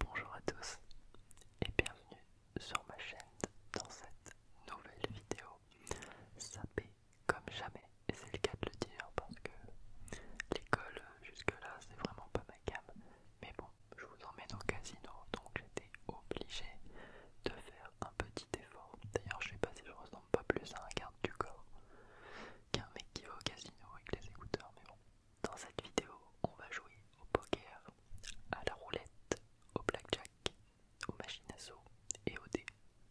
Bonjour à tous et bienvenue sur ma chaîne dans cette nouvelle vidéo sapée comme jamais et c'est le cas de le dire parce que l'école jusque là c'est vraiment pas ma gamme mais bon je vous emmène au casino donc j'étais obligé de faire un petit effort d'ailleurs je sais pas si je ressemble pas plus à un garde du corps qu'un mec qui va au casino avec les écouteurs mais bon dans cette vidéo, on va jouer au poker, à la roulette, au blackjack, aux machines à sous et au dé.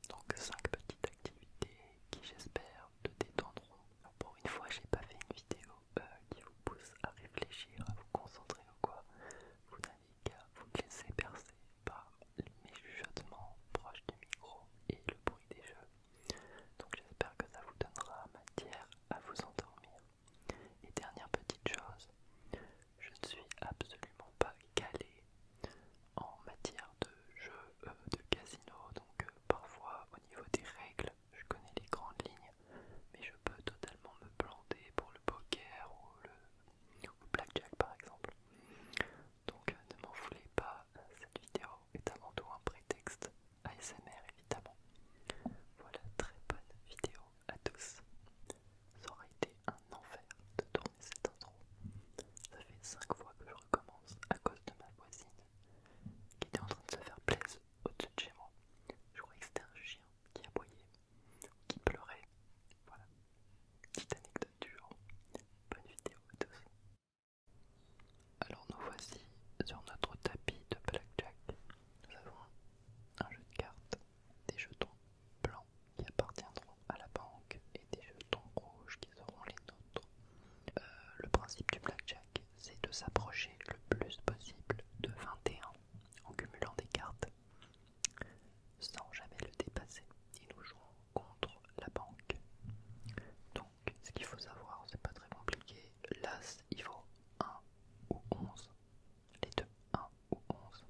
Donc 5 petites activités qui j'espère te détendront. pour une fois, j'ai pas fait une vidéo euh, qui vous pousse à réfléchir, à vous concentrer ou quoi. Vous n'avez qu'à vous laisser percer par mes chuchotements proches du micro et le bruit des jeux. Donc j'espère que ça vous donnera matière à vous endormir. Et dernière petite chose, je ne suis absolument pas calé en matière de jeu euh, de casino, donc euh, parfois au niveau des règles, je connais les grandes lignes, mais je peux totalement me planter pour le poker ou le blackjack par exemple. Donc euh, ne m'en voulez pas, cette vidéo est avant tout un prétexte ASMR évidemment. Voilà, très bonne vidéo à tous. Ça aurait été un enfer de tourner cette intro. Ça fait 5 fois que je recommence à cause de ma voisine qui était en train de se faire plaisir au-dessus de chez moi. Je croyais que c'était un chien qui aboyait, qui pleurait. Voilà, petite anecdote du Bonne vidéo à tous. Alors nous voici sur notre tapis de blackjack. Nous avons un jeu de cartes, des jetons blancs qui appartiendront à la banque et des jetons rouges qui seront les nôtres. Euh, le principe du blackjack, c'est de s'approcher le plus possible de 21 en cumulant des cartes sans jamais le dépasser. Et nous jouons contre la banque. Donc, ce qu'il faut savoir, c'est pas très compliqué. L'as, il faut. 1 ou 11. Les deux 1 ou 11.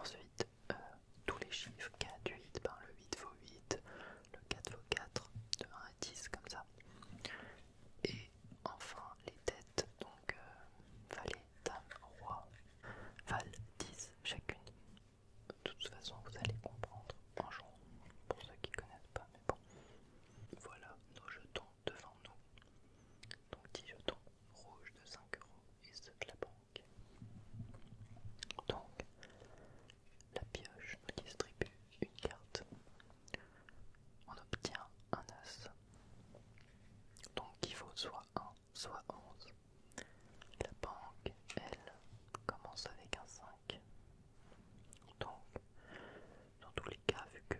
Ensuite, euh, tous les chiffres 4, 8, ben, le 8 vaut 8, le 4 vaut 4, de 1 à 10 comme ça. Et enfin les têtes, donc euh, valet, dame, roi, valent 10 chacune. De toute façon, vous allez comprendre Bonjour, pour ceux qui ne connaissent pas, mais bon. Voilà nos jetons devant nous. Donc 10 jetons rouges de 5 euros et ceux de la banque. Donc la pioche distribue une carte. On obtient un as. Donc il faut soit 1, soit 11. La banque, elle, commence avec un 5. Donc dans tous les cas, vu que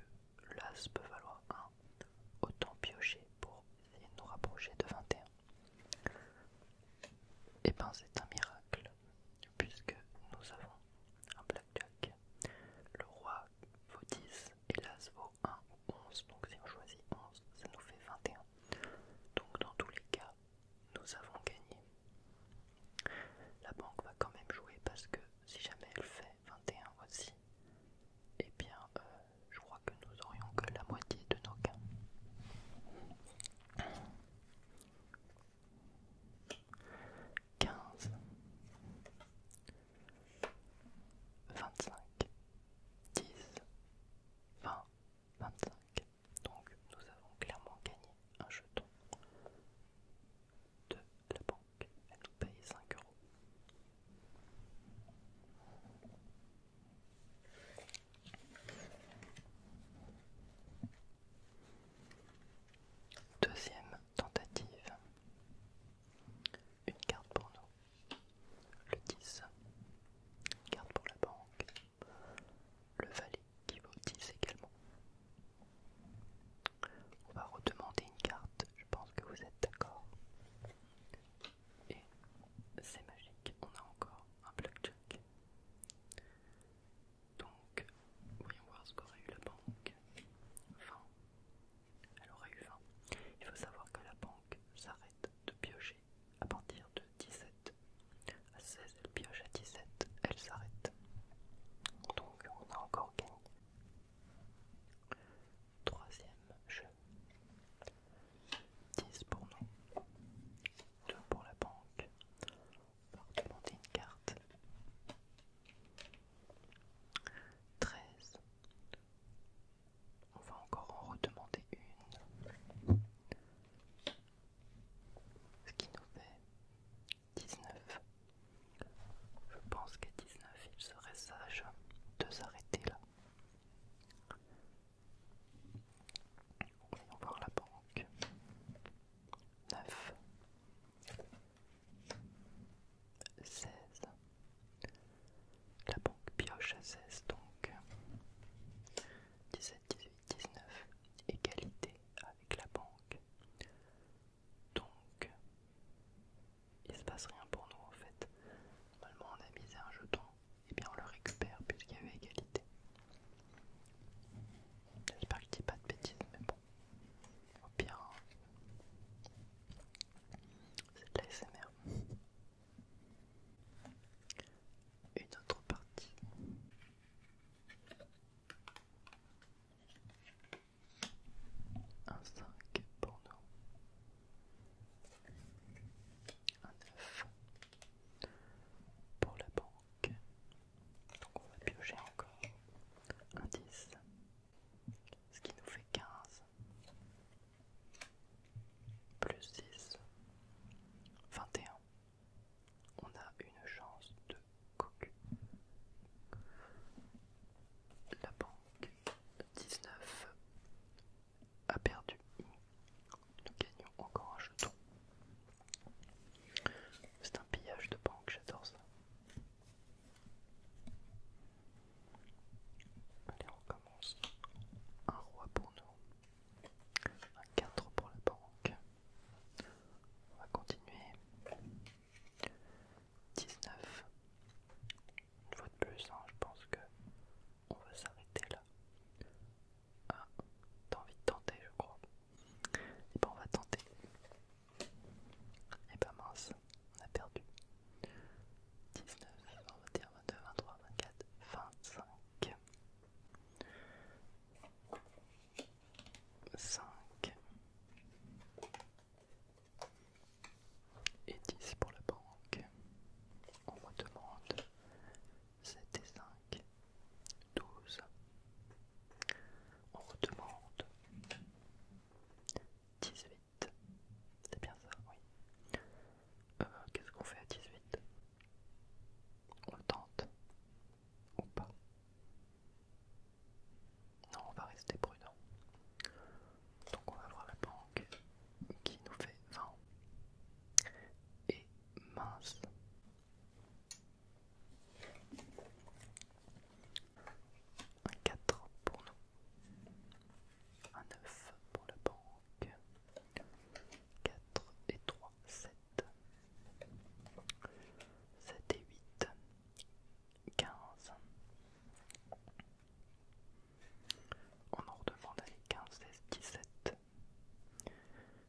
l'As peut valoir 1, autant piocher pour essayer de nous rapprocher de 21. Et eh ben c'est un miracle, puisque nous avons un blackjack. Le roi vaut 10 et l'As vaut 1 ou 11, donc si on choisit 11, ça nous fait 21. Donc dans tous les cas, nous avons gagné. La banque va quand même jouer parce que si jamais elle fait 21 aussi, et eh bien euh, je crois que nous aurions que la moitié de nos gains. 15 25 10 20 25 donc nous avons clairement gagné un jeton de la banque. Elle nous paye 5 euros. Deuxième tentative. Une carte pour nous. Le 10. Une carte pour la banque. Le valet qui vaut 10 également. On va redemander une carte, je pense que vous êtes d'accord. Et c'est magique, on a encore un blackjack. Donc, voyons voir ce qu'aurait eu la banque. 20. Elle aurait eu 20. Il faut savoir que la banque s'arrête de piocher à partir de 17. À 16, pioche à 17, elle s'arrête. Donc on a encore gagné. Troisième jeu. 10 pour nous. 2 pour la banque. On va redemander une carte. 13. On va encore en redemander une. Ce qui nous fait 19. Je pense qu'à 19, il serait sage de s'arrêter là. Voyons voir la banque. 9. 16. La banque pioche à 16 donc. 17, 18, 19. Égalité avec la banque. Donc, il se passe rien pour nous en fait. Normalement, on a misé un jeton, et bien on le récupère puisqu'il y avait égalité. J'espère que je dis pas de bêtises, mais bon, au pire, hein. c'est de la SMR. Une autre partie. Un 5 pour nous. Un 9 pour la banque. Donc on va piocher encore. Un 10. Ce qui nous fait 15. Plus 6. 21. On a une chance de la banque 19 a perdu. Nous gagnons encore un jeton. C'est un pillage de banque, j'adore ça. Allez, on commence. Un roi pour nous. Un 4 pour la banque. On va continuer. 19. Une fois de plus, hein, je pense que on va s'arrêter là. Ah, t'as envie de tenter, je crois. Et eh ben, on va tenter. Et eh bien mince, on a perdu. 19, on va dire 22, 23, 24, 25. 5 et 10 pour la banque. On me demande 7 et 5, 12. On me demande 18. C'est bien ça, oui. Euh, Qu'est-ce qu'on fait à 18 On tente. Ou pas. Non, on va rester prudent. Donc on va voir la banque qui nous fait 20. Et mince. Un 4 pour nous. Un 9 pour la banque. 4 et 3, 7. 7 et 8. 15. On en redemande d'aller 15, 16, 17.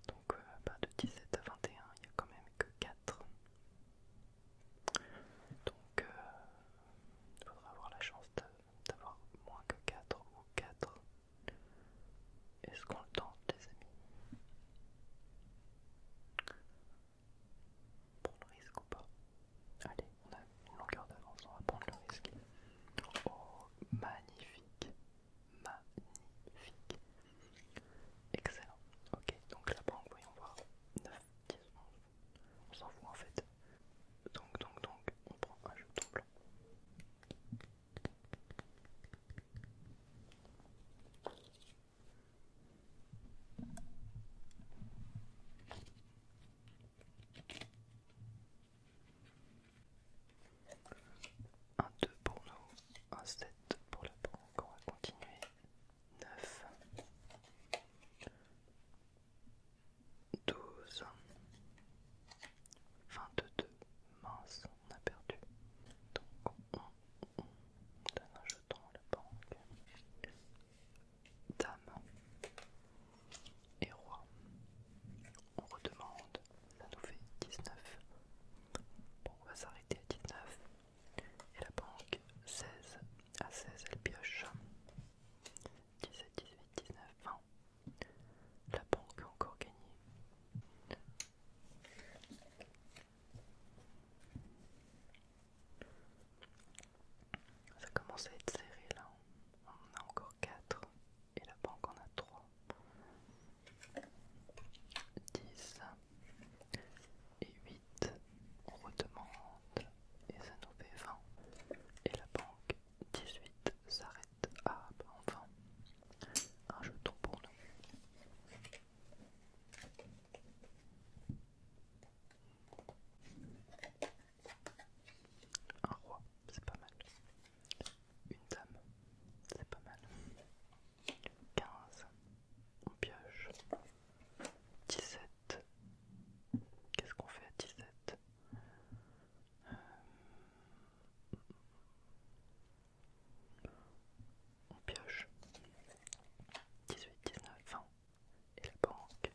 Donc euh, de 17 à 21, il n'y a quand même que 4. Donc euh, il faudra avoir la chance d'avoir moins que 4 ou 4. Est-ce qu'on le tente les amis Prendre le risque ou pas Allez, on a une longueur d'avance, on va prendre le risque. Oh, magnifique Magnifique Excellent. Ok, donc la banque, voyons voir. 9, 10, 11. On s'en fout en fait. Donc, donc, donc, on prend un jeton blanc. 1, 2 pour nous, 1, 7 pour la banque, on va continuer. 9 12 22 mince on a perdu donc on donne un jeton la banque. Dame et roi. On redemande. Ça nous fait 19. on va s'arrêter à 19. Et la banque 16. À 16, elle pioche. 17, 18, 19, 20. La banque a encore gagné. Ça commence à être serré là. On en a encore 4 et la banque en a 3. 10 et 8. On redemande et ça nous fait 20. Et la banque 18 s'arrête. Ah ben enfin. Un jeton pour nous. Un roi, c'est pas mal. Une dame, c'est pas mal. Quinze, on pioche. 17, qu'est-ce qu'on fait à 17 sept euh, on pioche 18, 19, 20 et la banque.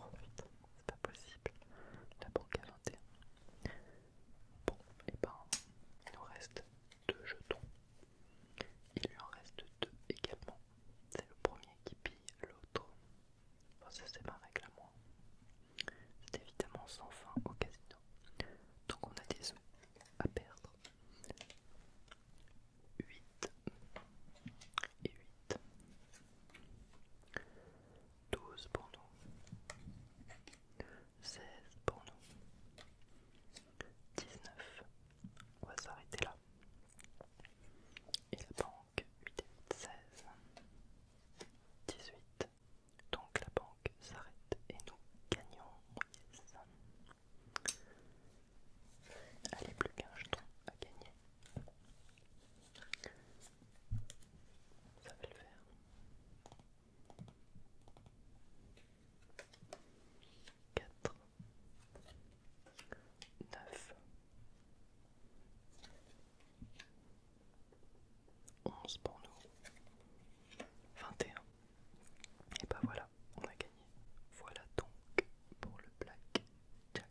Oh putain, c'est pas possible. La banque à 21. Bon, et eh ben, il nous reste deux jetons. Il lui en reste deux également. C'est le premier qui pille l'autre. Bon, ça c'est ma règle à moi. C'est évidemment sans fin au casino. Donc on a des à perdre. 8 et 8. 12 pour nous. 16 pour nous. 19. On va s'arrêter là. Et la banque 8 et 8, 16. 18. Donc la banque s'arrête et nous gagnons. Allez, le qu'un genou à gagner. Ça va le faire. 4. 9. 11 pour 21. Et bah ben voilà, on a gagné. Voilà donc pour le black jack.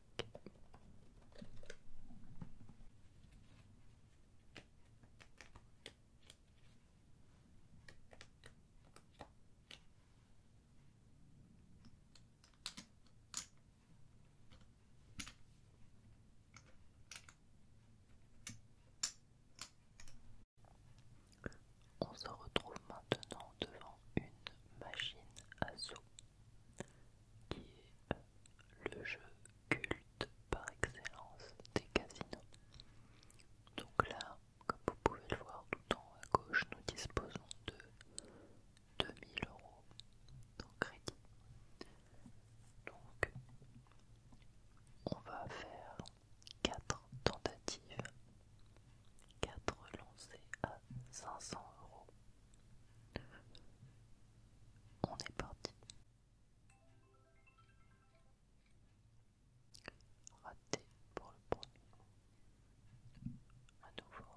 On se retrouve maintenant devant une machine à sous qui est le jeu culte par excellence des casinos. Donc là, comme vous pouvez le voir tout en haut à gauche, nous disposons de 2000 euros en crédit. Donc on va faire 4 tentatives 4 lancés à 500 euros. On est parti. Raté pour le premier. À nouveau.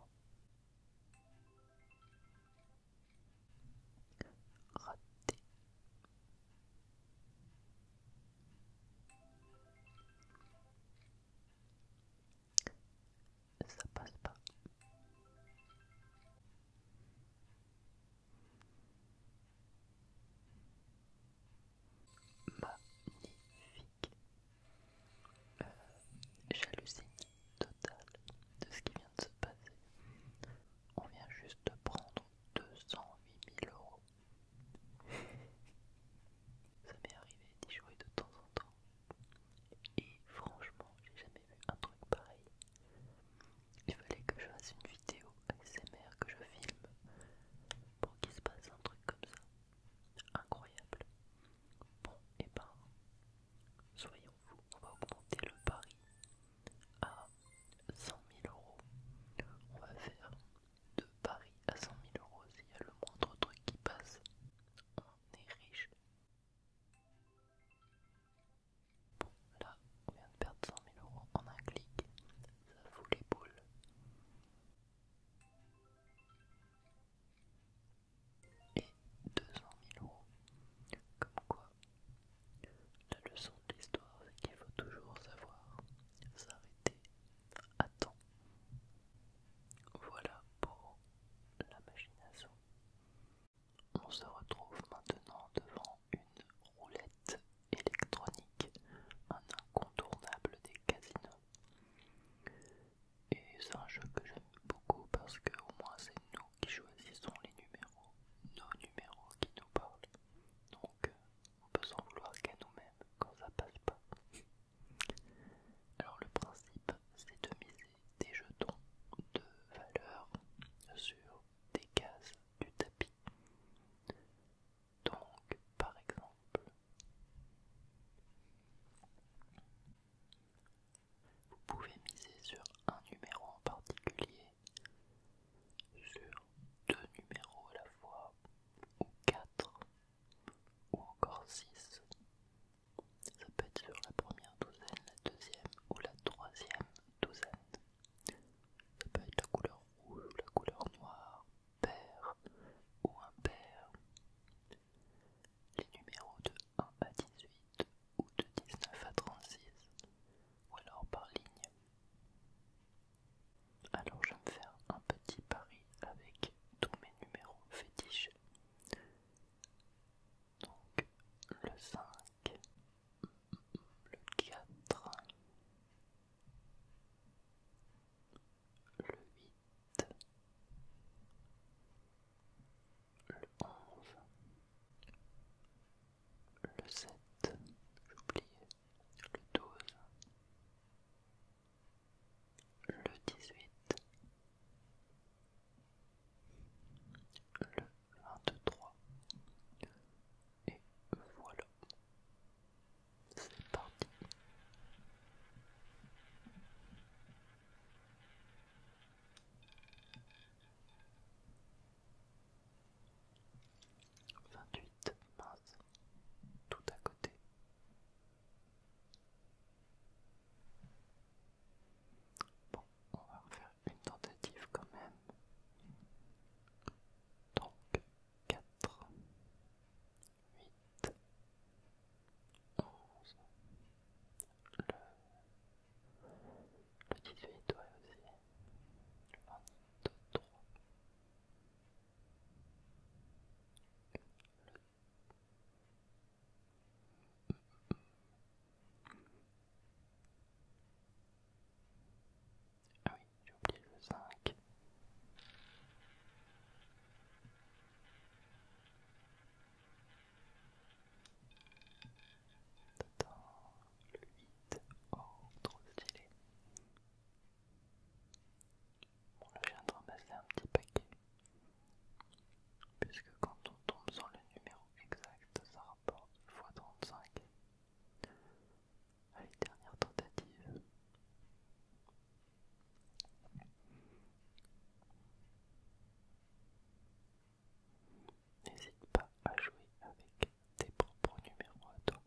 Raté. Ça passe pas. Magnifique. J'hallucine euh, Jalousie totale de ce qui vient de se passer. On vient juste de prendre huit mille euros. Ça m'est arrivé d'y jouer de temps en temps. Et franchement, j'ai jamais vu un truc pareil. Il fallait que je fasse une vidéo ASMR que je filme pour qu'il se passe un truc comme ça. Incroyable. Bon, et eh ben, soyons fous, on va augmenter le pari à 100 000 euros. On va faire de Paris à 100 000 euros, s'il y a le moindre truc qui passe, on est riche. Bon, là, on vient de perdre 100 000 euros en un clic, ça fout les boules. Et 200 000 euros. Comme quoi, la leçon de l'histoire, c'est qu'il faut toujours savoir s'arrêter Attends, Voilà pour la machination. On se retrouve maintenant devant une roulette électronique, un incontournable des casinos. Et c'est un jeu que j'aime beaucoup parce que au moins c'est nous qui choisissons les numéros, nos numéros qui nous parlent. Donc on peut s'en vouloir qu'à nous-mêmes quand ça passe pas. Alors le principe c'est de miser des jetons de valeur sur des cases du tapis. Donc par exemple, vous pouvez miser sur un numéro en particulier, sur deux numéros à la fois, ou quatre, ou encore 6. Ça peut être sur la première douzaine, la deuxième ou la troisième douzaine. Ça peut être la couleur rouge ou la couleur noire, paire ou impair. Les numéros de 1 à 18 ou de 19 à 36, ou alors par ligne. Alors je vais me faire un petit pari avec tous mes numéros fétiches. Donc le 5, le 4, le 8, le 11, le 7, oublié, le 12, le 18, le 23, et voilà, c'est parti. 28 mince, tout à côté. Bon, on va refaire une tentative quand même. Donc 4, 8, 11, le, le 18 ouais aussi, le 23, ah oui, j'ai oublié le 5. le 8. Oh, trop stylé. On vient de ramasser un petit paquet. Puisque quand on tombe sur le numéro exact, ça rapporte x35 à les tentative, N'hésite pas à jouer avec tes propres numéros à toi.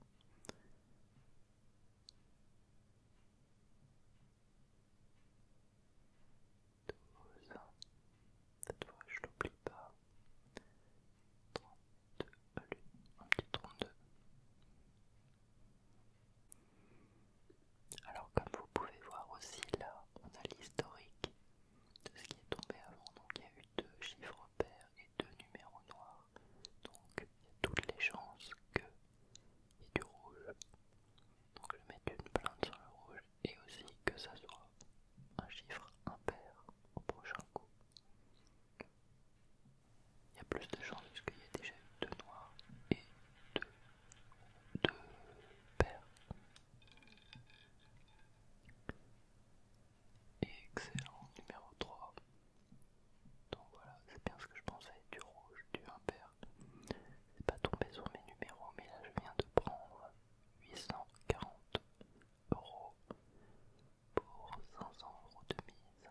12, cette fois je l'oublie pas, 32, un petit 32. Alors comme vous pouvez voir aussi là, on a l'historique de ce qui est tombé avant, donc il y a eu deux chiffres pairs et deux numéros noirs, donc il y a toutes les chances que et du rouge. Donc je mets une plainte sur le rouge et aussi que ça soit un chiffre impair au prochain coup. Il y a plus de chances puisqu'il y a déjà deux noirs et deux, deux paires. Excellent numéro 3. Donc voilà, c'est bien ce que je pensais, du rouge, du impair c'est pas tombé sur mes numéros, mais là je viens de prendre 840 euros pour 500 euros de mise.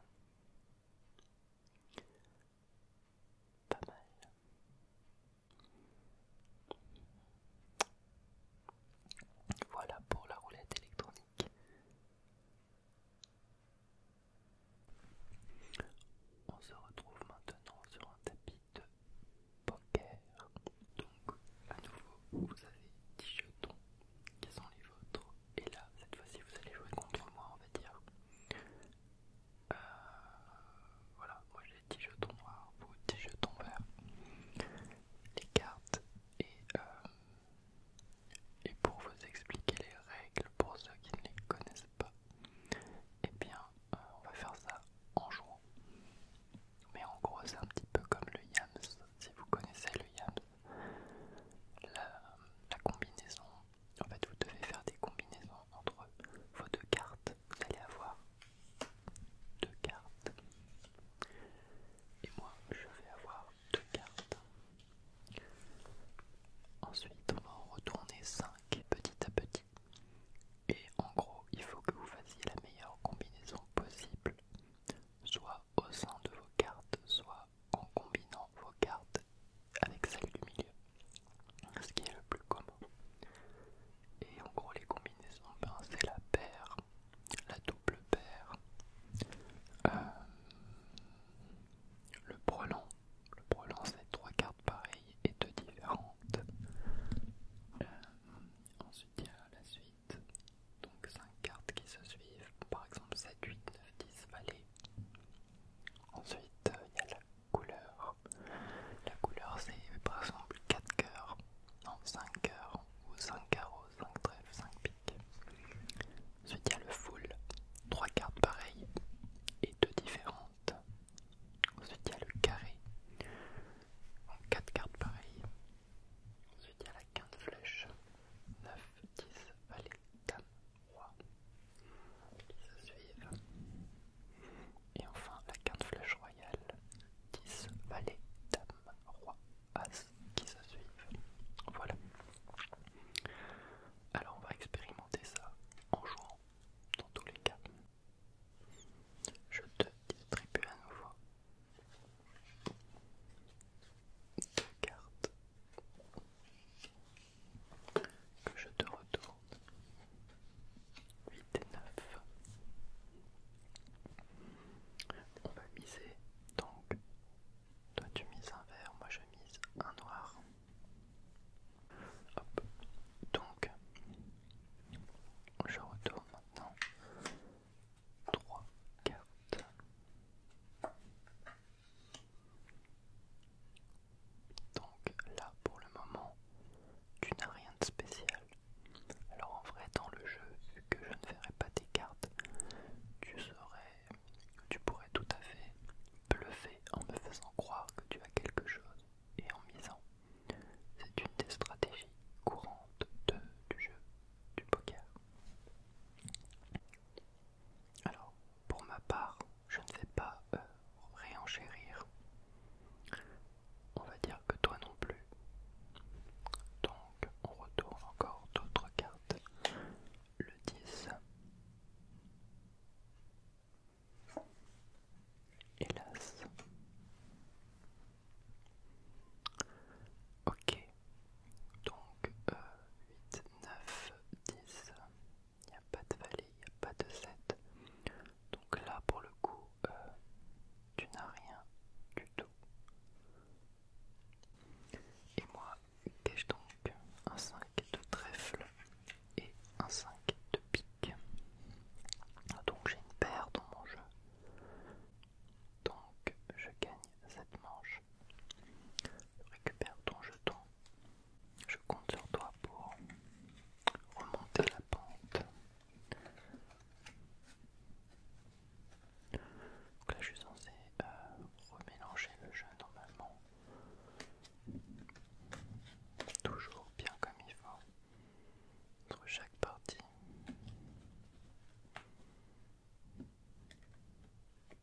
Pas mal. Voilà pour la roulette électronique. On se retrouve maintenant sur un tapis de poker. Donc, à nouveau, vous avez 10 jetons qui sont les vôtres. Et là, cette fois-ci, vous allez jouer contre moi, on va dire. Euh, voilà, moi j'ai 10 jetons noirs, vous 10 jetons verts. Les cartes euh, et. pour vous expliquer les règles, pour ceux qui ne les connaissent pas, et eh bien euh, on va faire ça en jouant. Mais en gros c'est un petit peu comme le yams, si vous connaissez le yams, la, combinaison, en fait vous devez faire des combinaisons entre vos deux cartes, vous allez avoir deux cartes. Et moi je vais avoir deux cartes. Ensuite on va en retourner ça petit à petit. Et en gros, il faut que vous fassiez la meilleure combinaison possible, soit au sein de vos cartes, soit en combinant vos cartes avec celles du milieu, ce qui est le plus commun. Et en gros, les combinaisons, ben, c'est la paire, la double paire, euh, le pronom le brelan c'est 3 cartes pareilles et 2 différentes. Euh, ensuite il y a la suite, donc 5 cartes qui se suivent, par exemple 7, 8, 9, 10 vallées. Ensuite il y a la couleur. La couleur c'est par exemple 4 cœurs, non 5 cœurs, ou 5 carreaux, 5 trèfles, 5 piques. Ensuite il y a le full, 3 cartes pareilles et 2 différentes. Ensuite, il y a le carré en 4 cartes pareilles. Ensuite, il y a la quinte flèche 9, 10, valet, dame, roi qui se suivent. Et enfin, la quinte flèche royale 10, valet, dame, roi, as qui se suivent. Voilà. Alors, on va expérimenter ça en jouant dans tous les cas. Je te distribue à nouveau deux cartes que je te retourne 8 et 9. On va miser donc toi tu mises un vert, moi je mise un noir. Donc, je retourne maintenant 3 cartes. Donc là, pour le moment, tu n'as rien de spécial. Alors en vrai, dans le jeu, vu que je ne ferai pas tes cartes, tu tu pourrais tout à fait bluffer en me faisant croire que tu as quelque chose et en misant. C'est une des stratégies courantes du jeu du poker. Alors, pour ma part, je ne vais pas euh, réenchérir. On va dire que toi non plus. Donc, on retourne encore d'autres cartes. Le 10. Hélas. Ok. Donc 8, 9, 10. Il n'y a pas de valet, il n'y a pas de 7. Donc là pour le coup, euh, tu n'as rien du tout. Et moi, qu'ai-je donc Un 5 de trèfle et un 5 de pique. Donc j'ai une paire dans mon jeu. Donc je gagne cette manche. Je récupère ton jeton. Je compte sur toi pour remonter la pente. Donc là je suis censé euh, remélanger le jeu normalement. Toujours bien comme il faut entre chaque partie.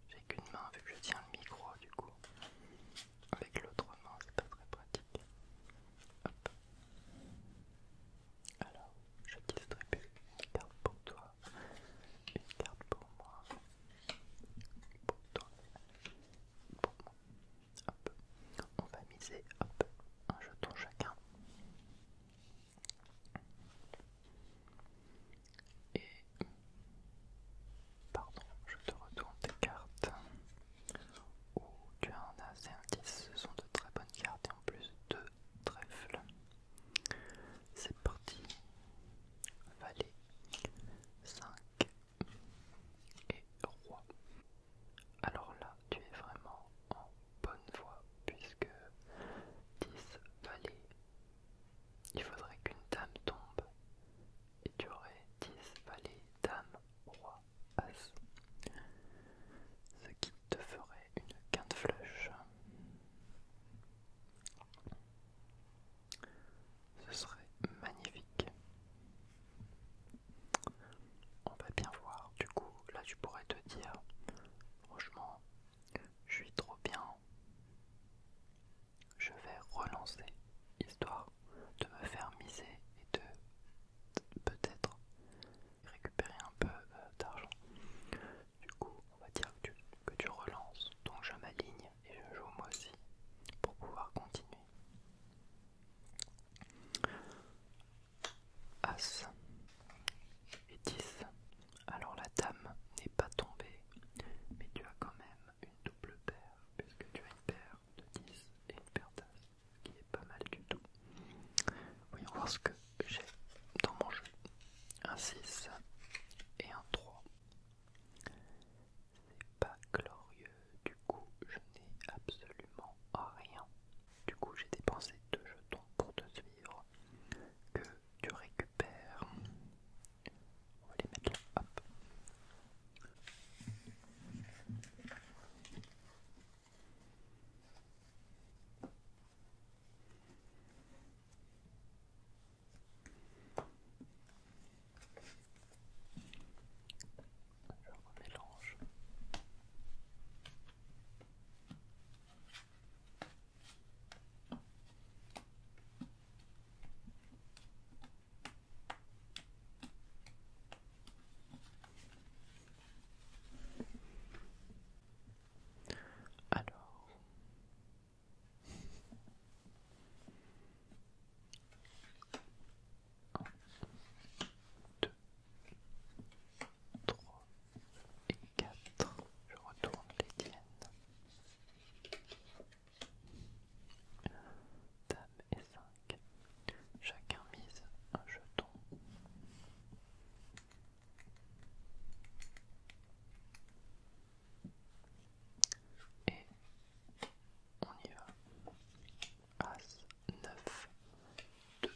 J'ai qu'une main vu que je tiens le micro du coup. Avec l'autre main, c'est pas très pratique. Alors, je distribue une carte pour toi, une carte pour moi, pour toi, pour moi, Hop. On va miser un jeton chacun. Et pardon, je te retourne tes cartes. Ou oh, tu as un as et un 10, ce sont de très bonnes cartes et en plus deux trèfles. C'est parti. Valet 5 et roi. Alors là, tu es vraiment en bonne voie puisque 10 valets. il faudrait qu'une dame tombe et tu aurais 10 vallées, dame, roi, as. Ce qui te ferait une quinte flush. Ce serait magnifique. On va bien voir. Du coup, là, tu pourrais te dire, franchement, je suis trop bien. Je vais relancer, histoire de me faire miser et de peut-être récupérer un peu euh, d'argent. Du coup, on va dire que tu relances, donc je m'aligne et je joue moi aussi pour pouvoir continuer. As et 10. Alors la dame n'est pas tombée, mais tu as quand même une double paire, puisque tu as une paire de 10 et une paire d'As, ce qui est pas mal du tout. Voyons voir ce que j'ai dans mon jeu. Un 6 et un 3 c'est pas glorieux, du coup je n'ai absolument rien. Du coup j'ai dépensé deux jetons pour te suivre, que tu récupères. On va les mettre là, hop. Je mélange. Alors, 1, 2, 3 et 4. Je retourne les tiennes. Dame et 5. Chacun mise un jeton. Et on y va. As 9 2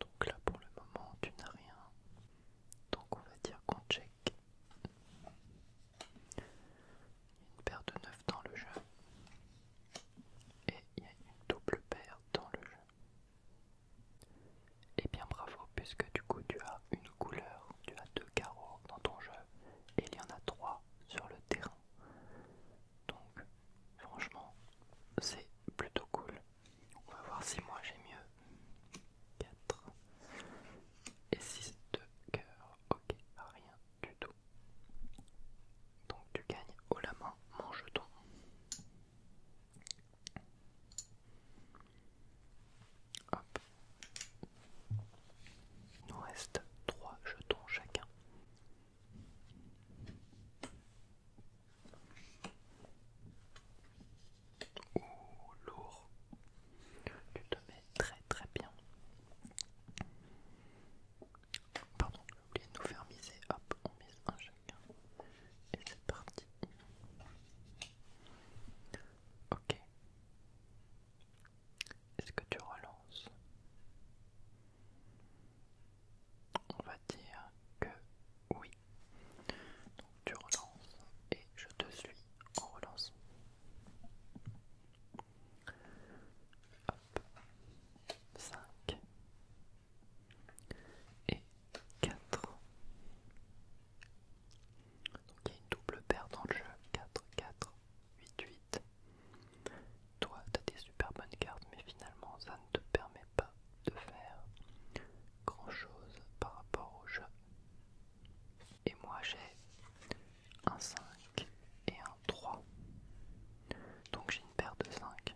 donc là pour le moment tu n'as rien donc on va dire qu'on check une paire de 9 dans le jeu et il y a une double paire dans le jeu et eh bien bravo puisque du coup tu as une couleur, tu as deux carreaux dans ton jeu et il y en a 3 sur le terrain. Donc franchement c'est plutôt cool. On va voir si moi j'ai mieux. 4 et 6 de cœur. Ok, rien du tout. Donc tu gagnes haut la main mon jeton. Hop. Il nous reste 3 jetons chacun. Ouh, lourd. Tu te mets très très bien. Pardon, j'ai oublié de nous faire miser. Hop, on mise un chacun. Et c'est parti. Ok. Est-ce que tu relances On va dire que oui. Donc tu relances et je te suis en relance. Hop. Cinq. et quatre. Donc il y a une double paire dans le jeu. 4, 4, 8, 8. Toi, tu as des super bonnes cartes, mais finalement, ça ne te permet pas de faire grand chose par rapport au jeu. Et moi, j'ai un 5 et un 3. Donc j'ai une paire de 5.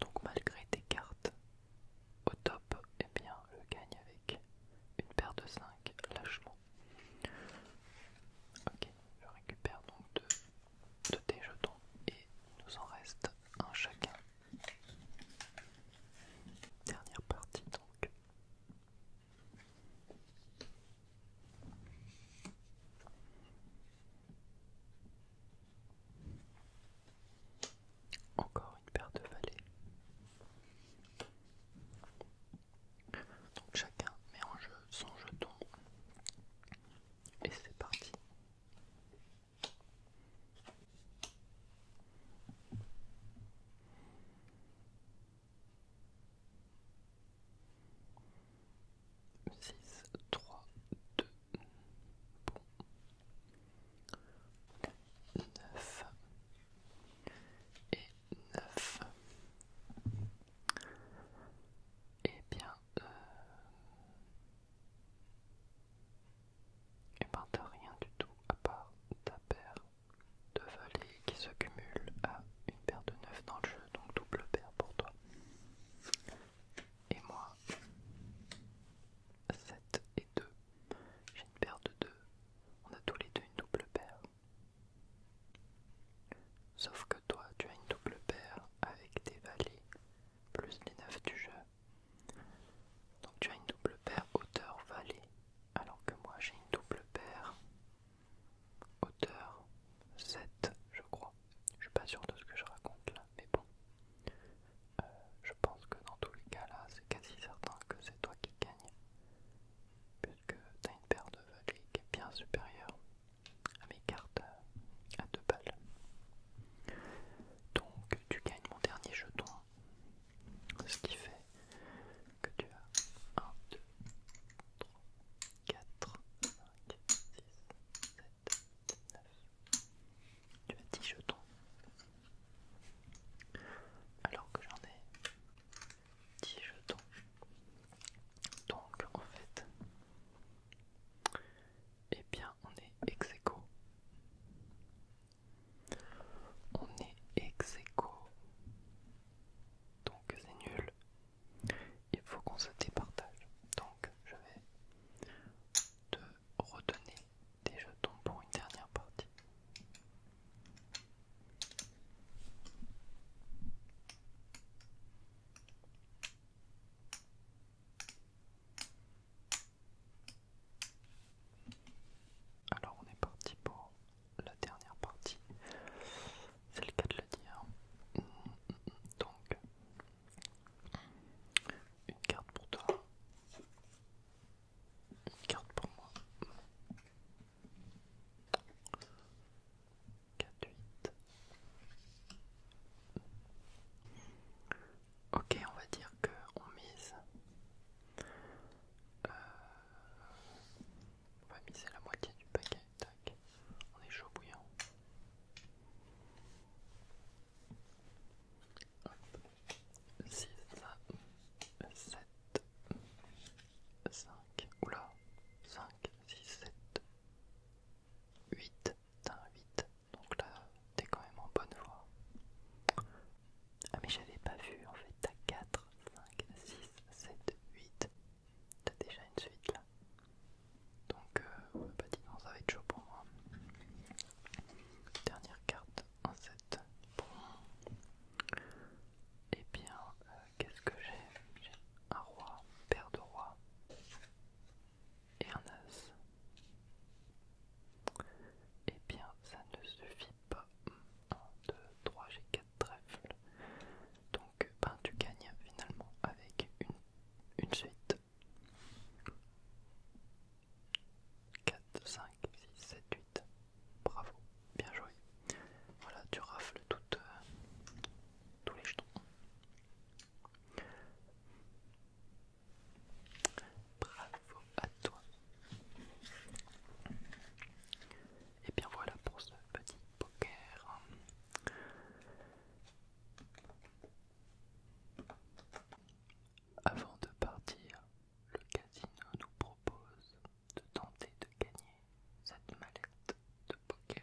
Donc malgré tes cartes au top, eh bien, je gagne avec une paire de 5 lâchement Ok, je récupère donc deux, déjetons jetons et il nous en reste un chacun. Dernière partie donc. Encore une paire de valets. Donc chacun met en jeu son jeton et c'est parti. 6, 3, 2, 4, 9. 9. et eh bien, euh... Eh ben, rien du tout à part ta paire de valets qui se cumule à une paire de 9 dans le jeu, donc double paire pour toi. Et moi, 7 et 2, j'ai une paire de 2, on a tous les deux une double paire. Sauf que toi, tu as une double paire avec des valets plus les 9 du jeu. Donc tu as une double paire hauteur valet, alors que moi j'ai une double paire hauteur 7, je crois. Je suis pas sûr de ce que je raconte là, mais bon. Euh, je pense que dans tous les cas là, c'est quasi certain que c'est toi qui gagne puisque tu as une paire de valets qui est bien supérieure à mes cartes euh, à deux balles. Donc tu gagnes mon dernier jeton, ce qui fait que tu as 1, 2, 3, 4, 5, 6, 7, 9. Tu as 10 jetons. Alors que j'en ai 10 jetons. Donc en fait, et eh bien on est ex On est ex Donc c'est nul. Il faut qu'on se départage. Donc je vais te redonner des jetons pour une dernière partie. Alors on est parti pour la dernière partie, c'est le cas de le dire. Donc une carte pour toi, une carte pour moi, Quatre Ok, on va dire que on mise. Euh, la moitié du paquet. On est chaud bouillant. 5, oula, 5, 6, 7, 8, t'as un 8, donc là t'es quand même en bonne voie. Ah mais j'avais pas vu en fait, t'as 4, 5, 6, 7, 8, t'as déjà une suite là. Donc euh, bah dis donc ça va être chaud pour moi. Dernière carte, un 7. Et eh bien, euh, qu'est-ce que j'ai J'ai un roi, paire de rois et un as. Eh bien, ça ne suffit pas. 1, 2, 3, j'ai 4 trèfles. Donc, ben, tu gagnes finalement avec une suite. 4, 5, 6, 7, 8, Bravo, bien joué. Voilà, tu rafles toutes, euh, tous les jetons. Bravo à toi. Et bien voilà pour ce petit poker. Avant de partir, le casino nous propose de tenter de gagner cette mallette de poker.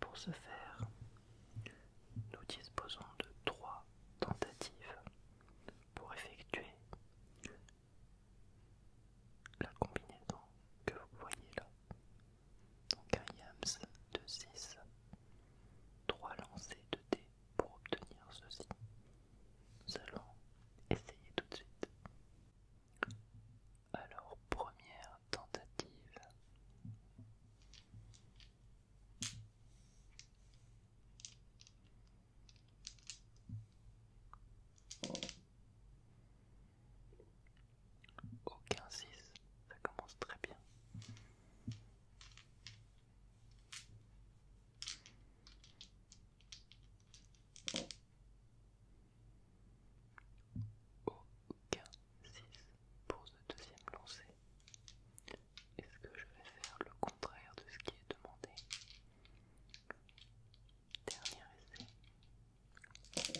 Pour ce faire, nous disposons de trois tentatives pour effectuer la combinaison que vous voyez là. Donc un yams de 6, 3 lancers de dés pour obtenir ceci, nous allons essayer tout de suite. Alors, première tentative. Aucun 6, ça commence très bien. Aucun 6 pour ce deuxième lancer. Est-ce que je vais faire le contraire de ce qui est demandé Dernier essai.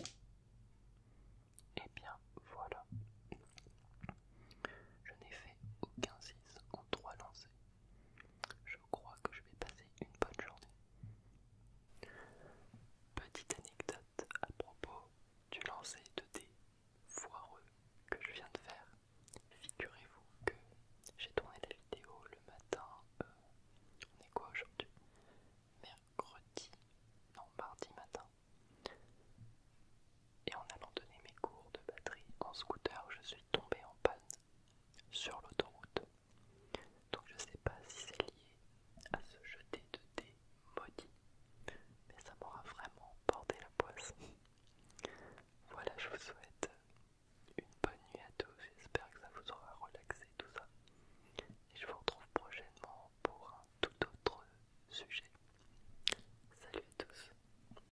Et eh bien voilà. Je n'ai fait aucun 6 en 3 lancers. Je crois que je vais passer une bonne journée. Petite anecdote à propos du lancer de dés foireux que je viens de faire. Figurez-vous que j'ai tourné la vidéo le matin, euh, on est quoi aujourd'hui Mercredi, non mardi matin et en allant donner mes cours de batterie en scooter, je suis tombé en panne sur l'autoroute. Donc je sais pas si c'est lié à ce jeté de dés maudit, mais ça m'aura vraiment bordé la poisse. Voilà, je vous souhaite une bonne nuit à tous, j'espère que ça vous aura relaxé tout ça. Et je vous retrouve prochainement pour un tout autre sujet. Salut à tous